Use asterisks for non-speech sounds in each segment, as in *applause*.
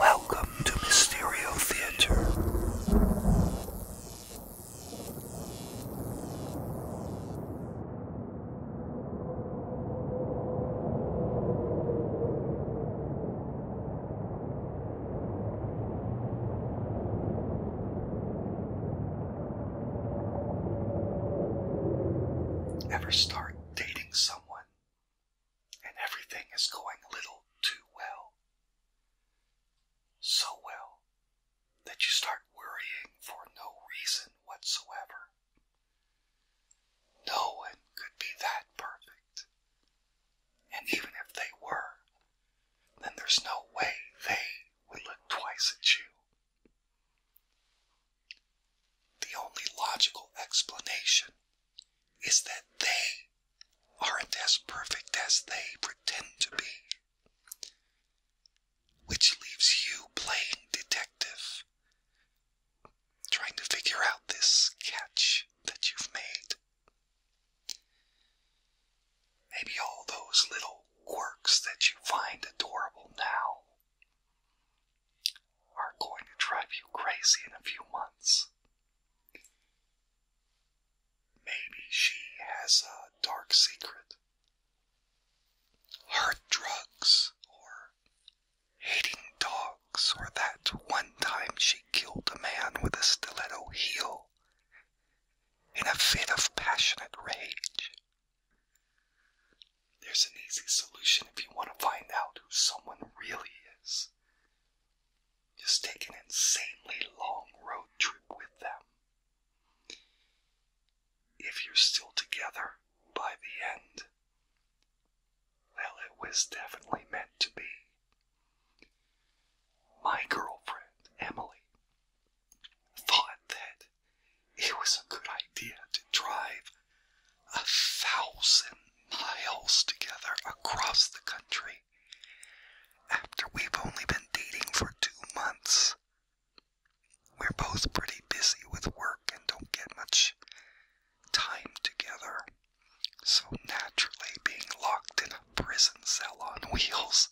Welcome to Mysterio Theater. Ever start dating someone and everything is going a little too well. So well that you start worrying for no reason whatsoever. No one could be that perfect. And even if they were, then there's no way they would look twice at you. The only logical explanation is that they aren't as perfect as they pretend to be, which leaves you playing detective, trying to figure out this catch that you've made. Maybe all those little quirks that you find adorable now are going to drive you crazy in a few months. Maybe she has a dark secret. Hard drugs, or hating dogs, or that one time she killed a man with a stiletto heel in a fit of passionate rage. There's an easy solution if you want to find out who someone really is. Just take an insanely long road trip with them. If you're still together by the end, well, it was definitely meant to be. My girlfriend, Emily, thought that it was a good idea to drive a thousand miles together across the country after we've only been dating for two months. We're both pretty busy with work and don't get much time together. So naturally, being locked in a prison cell on wheels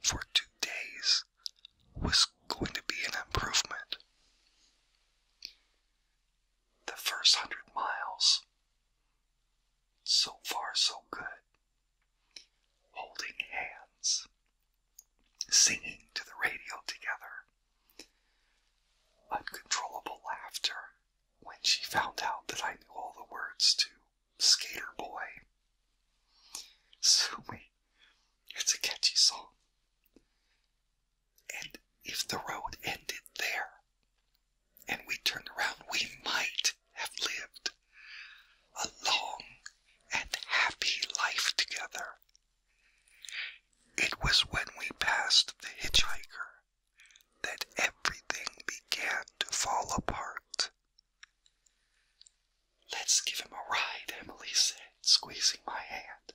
for two days was going to be an improvement. The first hundred miles, so far so good. Holding hands, singing to the radio together, uncontrollable laughter when she found out that I knew all the words to Skater Boy. Sue me, it's a catchy song. And if the road ended there and we turned around, we might have lived a long and happy life together. It was when we passed the hitchhiker that everything began to fall apart. Let's give him a ride, Emily said, squeezing my hand.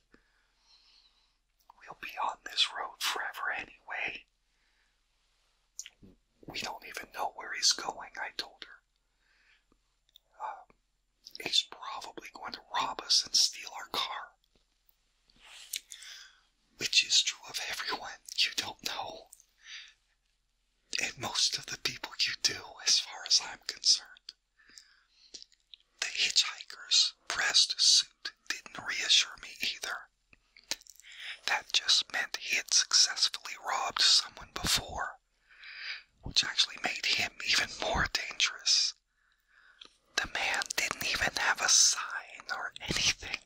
We'll be on this road forever anyway. We don't even know where he's going, I told her. Um, he's probably going to rob us and steal our car. Which is true of everyone you don't know. And most of the people you do, as far as I'm concerned. The hitchhiker's pressed suit didn't reassure me either. That just meant he had successfully robbed someone before, which actually made him *laughs* even more dangerous. The man didn't even have a sign or anything.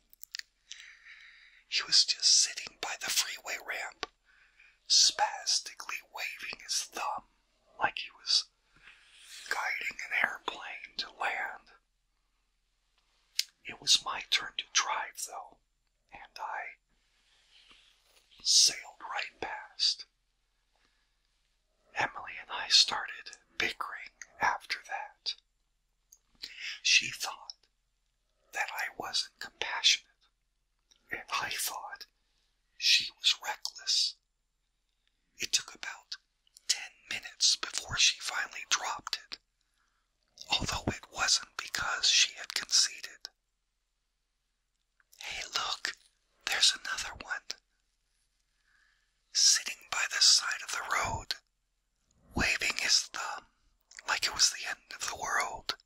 He was just sitting by the freeway ramp, spastically waving his thumb like he was guiding an airplane to land. It was my turn to drive, though, and I sailed right past. Emily and I started bickering after that. She thought that I wasn't compassionate I thought she was reckless. It took about ten minutes before she finally dropped it, although it wasn't because she had conceded. Hey, look, there's another one. Sitting by the side of the road, waving his thumb like it was the end of the world.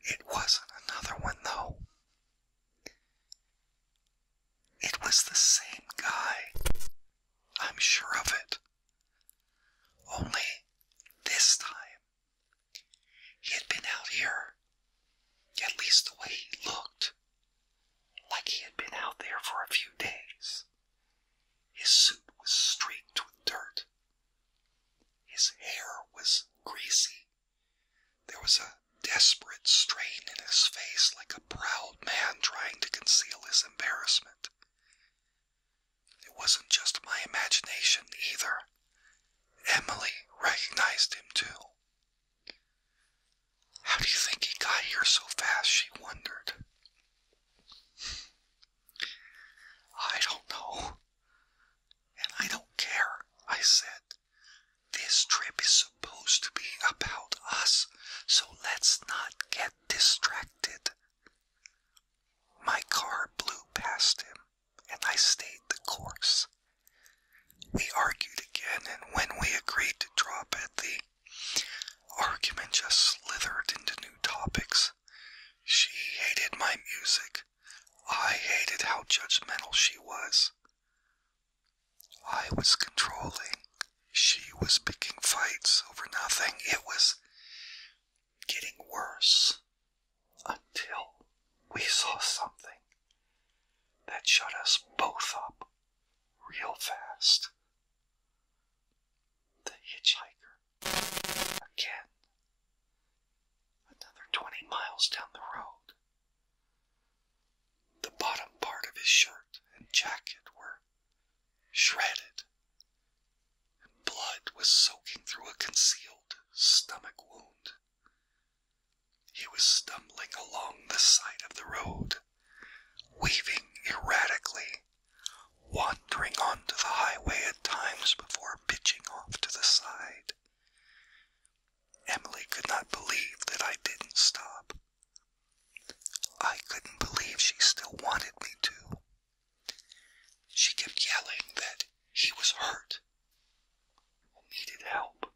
It wasn't another one, though. It was the same guy. I'm sure of it. Only this time, he had been out here, at least the way he looked, like he had been out there for a few days. His suit was streaked with dirt, his hair was greasy. There was a desperate strain in his face, like a proud man trying to conceal his embarrassment. It wasn't just my imagination either. Emily recognized him too. How do you think he got here so fast? she wondered. I don't know. And I don't care, I said. This trip is supposed to be about us, so let's not get distracted. My car blew past him, and I stayed the course. We argued again, and when we agreed to drop it, the argument just slithered into new topics. She hated my music. I hated how judgmental she was. I was controlling. She was picking fights over nothing. It was getting worse until we saw something that shut us both up real fast. The hitchhiker. Again, another twenty miles down the road. The bottom part of his shirt and jacket were shredded, and blood was soaking through a concealed stomach wound. He was stumbling along the side of the road, weaving erratically, wandering onto the highway at times before pitching off to the side. Emily could not believe that I didn't stop. I couldn't believe she still wanted me to. She kept yelling that she was hurt and needed help.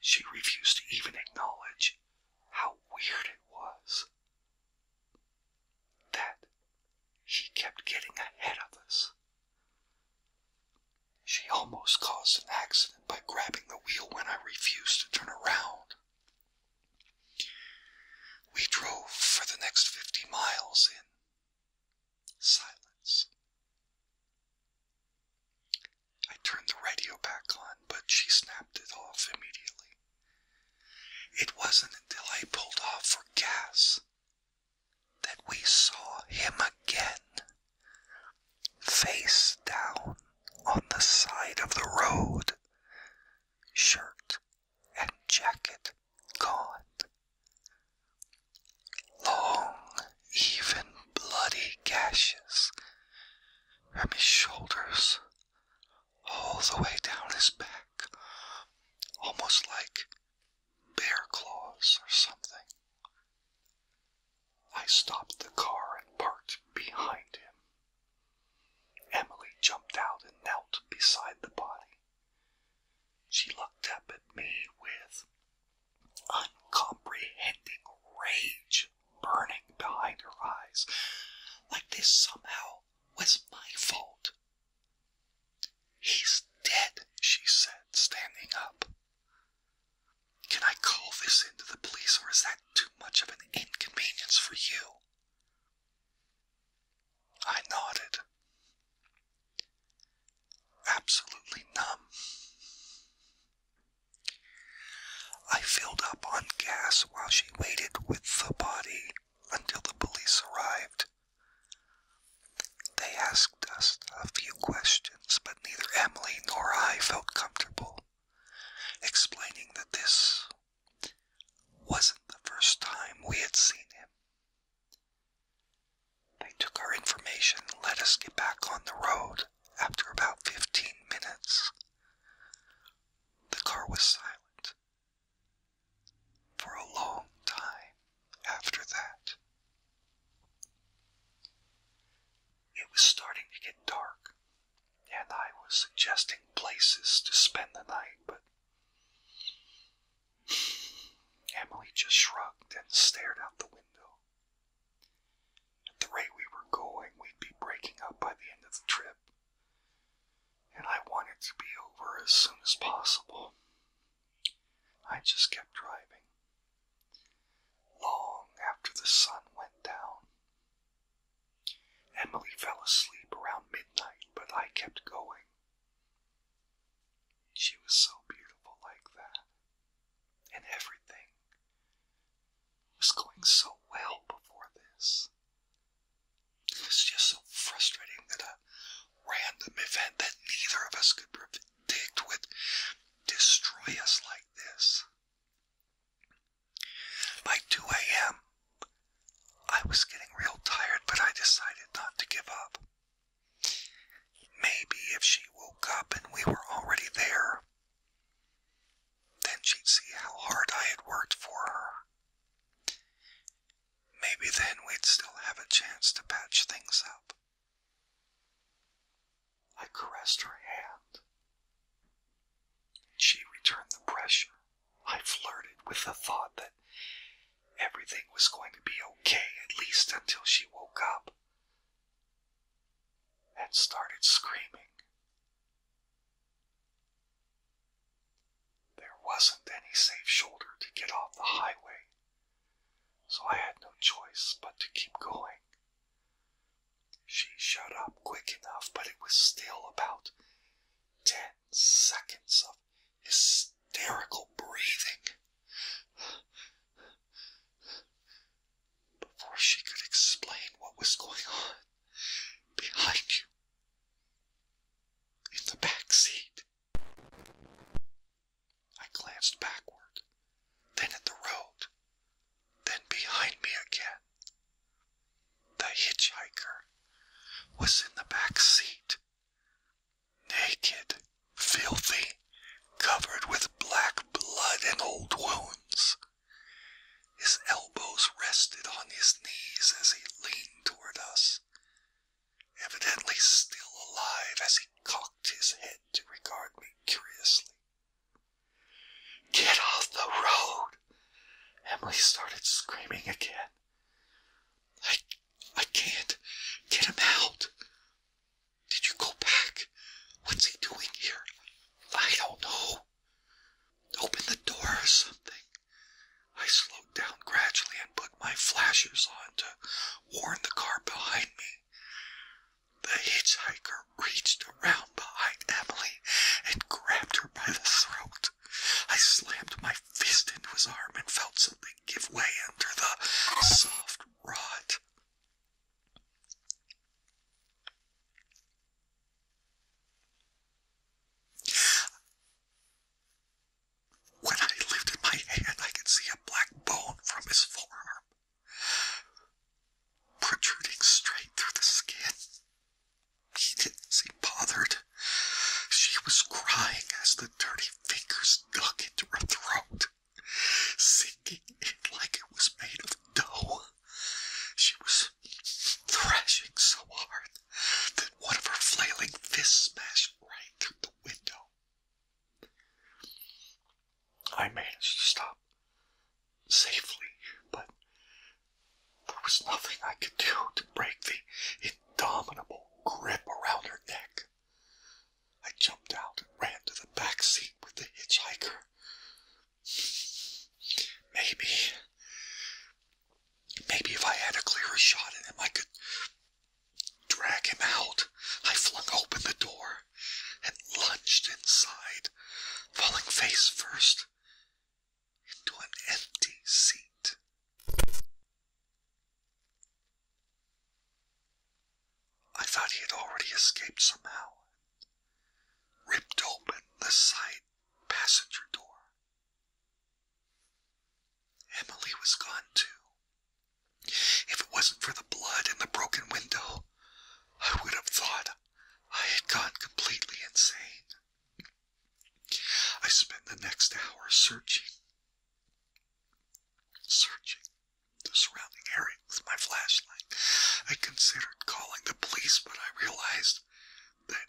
She refused to even acknowledge how weird it was that she kept getting ahead of us. She almost caused an accident by grabbing the wheel when I refused to turn around. We drove for the next 50 miles in silence. I turned the radio back on, but she snapped it off immediately. It wasn't until I pulled off for gas that we saw him again, face down on the side of the road, shirt and jacket gone. Long, even bloody gashes on his shoulders all the way down his back, almost like bear claws or something. I stopped the car and parked behind him. Emily jumped out and knelt beside the body. She looked up at me with uncomprehending rage burning behind her eyes, like this somehow was my fault He's dead, she said, standing up. Can I call this in the police, or is that too much of an inconvenience for you? I nodded. Absolutely numb. I filled up on gas while she waited with the body until the police arrived. They asked us a few questions, but neither Emily nor I felt comfortable explaining that this wasn't the first time we had seen him. They took our information and let us get back on the road after about 15 minutes. The car was silent, for a long time after that. It was starting to get dark, and I was suggesting places to spend the night, but Emily just shrugged and stared out the window. At the rate we were going, we'd be breaking up by the end of the trip and I wanted to be over as soon as possible. I just kept driving. Long after the sun went down, Emily fell asleep around midnight, but I kept going. She was so beautiful like that, and everything was going so well before this. It's just so frustrating that a random event that neither of us could predict would destroy us like this. By 2 a.m., I was getting real tired, but I decided not to give up. Maybe if she woke up and we were already there, then she'd see how hard I had worked for her Maybe then we'd still have a chance to patch things up. I caressed her hand. She returned the pressure. I flirted with the thought that everything was going to be okay, at least until she woke up and started screaming. There wasn't any safe shoulder to get off the highway, so I had no choice but to keep going. She shut up quick enough, but it was still about ten seconds of hysterical breathing before she could explain what was going on behind you in the back seat. I glanced backward, then at the road, then behind me again. The hitchhiker was in the back seat, naked, filthy, covered with black blood and old wounds. His elbows rested on his knees as he leaned toward us, evidently still alive as he cocked his head to regard me curiously. Get off the road! Emily started screaming again. I, I can't get him out. Did you go back? What's he doing here? I don't know open the door or something. I slowed down gradually and put my flashers on to warn the car behind me. The hitchhiker reached around behind Emily and grabbed her by the throat. I slammed my fist into his arm and felt something give way under the soft rot. When I lifted my hand, I could see a black bone from his forearm protruding straight through the skin. He didn't seem bothered. She was crying as the dirty fingers dug into her throat, sinking in like it was made of dough. She was thrashing so hard that one of her flailing fists smashed right through the window. I managed to stop safely, but there was nothing I could do to break the indomitable grip around her neck. I jumped out and ran to the back seat with the hitchhiker. Maybe. Maybe if I had a clearer shot at him, I could drag him out. I flung open the door and lunged inside, falling face first into an empty seat. I thought he had already escaped somehow, ripped open the sight passenger door. Emily was gone too. If it wasn't for the blood and the broken window, I would have thought I had gone completely insane. I spent the next hour searching, searching the surrounding area with my flashlight. I considered calling the police, but I realized that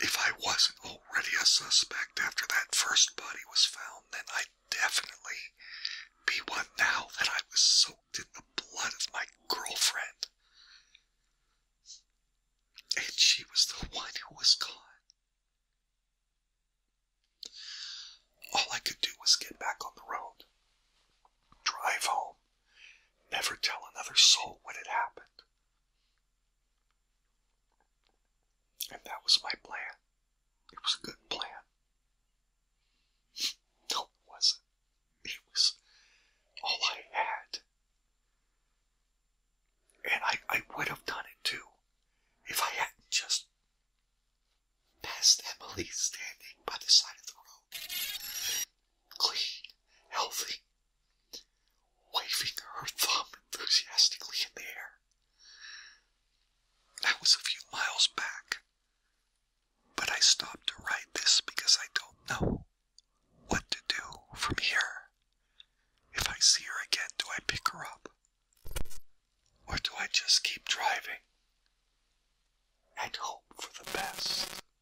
if I wasn't already a suspect after that first body was found, then I'd definitely be one now that I was soaked in the blood of my girlfriend. And she was the one who was caught. All I could do was get back on the road, drive home, Never tell another soul what had happened. And that was my plan. It was a good plan. No, it wasn't. It was all I had. And I, I would have done it too if I hadn't just passed Emily standing by the side of the road clean, healthy, waving her thumb enthusiastically in the air. That was a few miles back, but I stopped to write this because I don't know what to do from here. If I see her again, do I pick her up? Or do I just keep driving and hope for the best?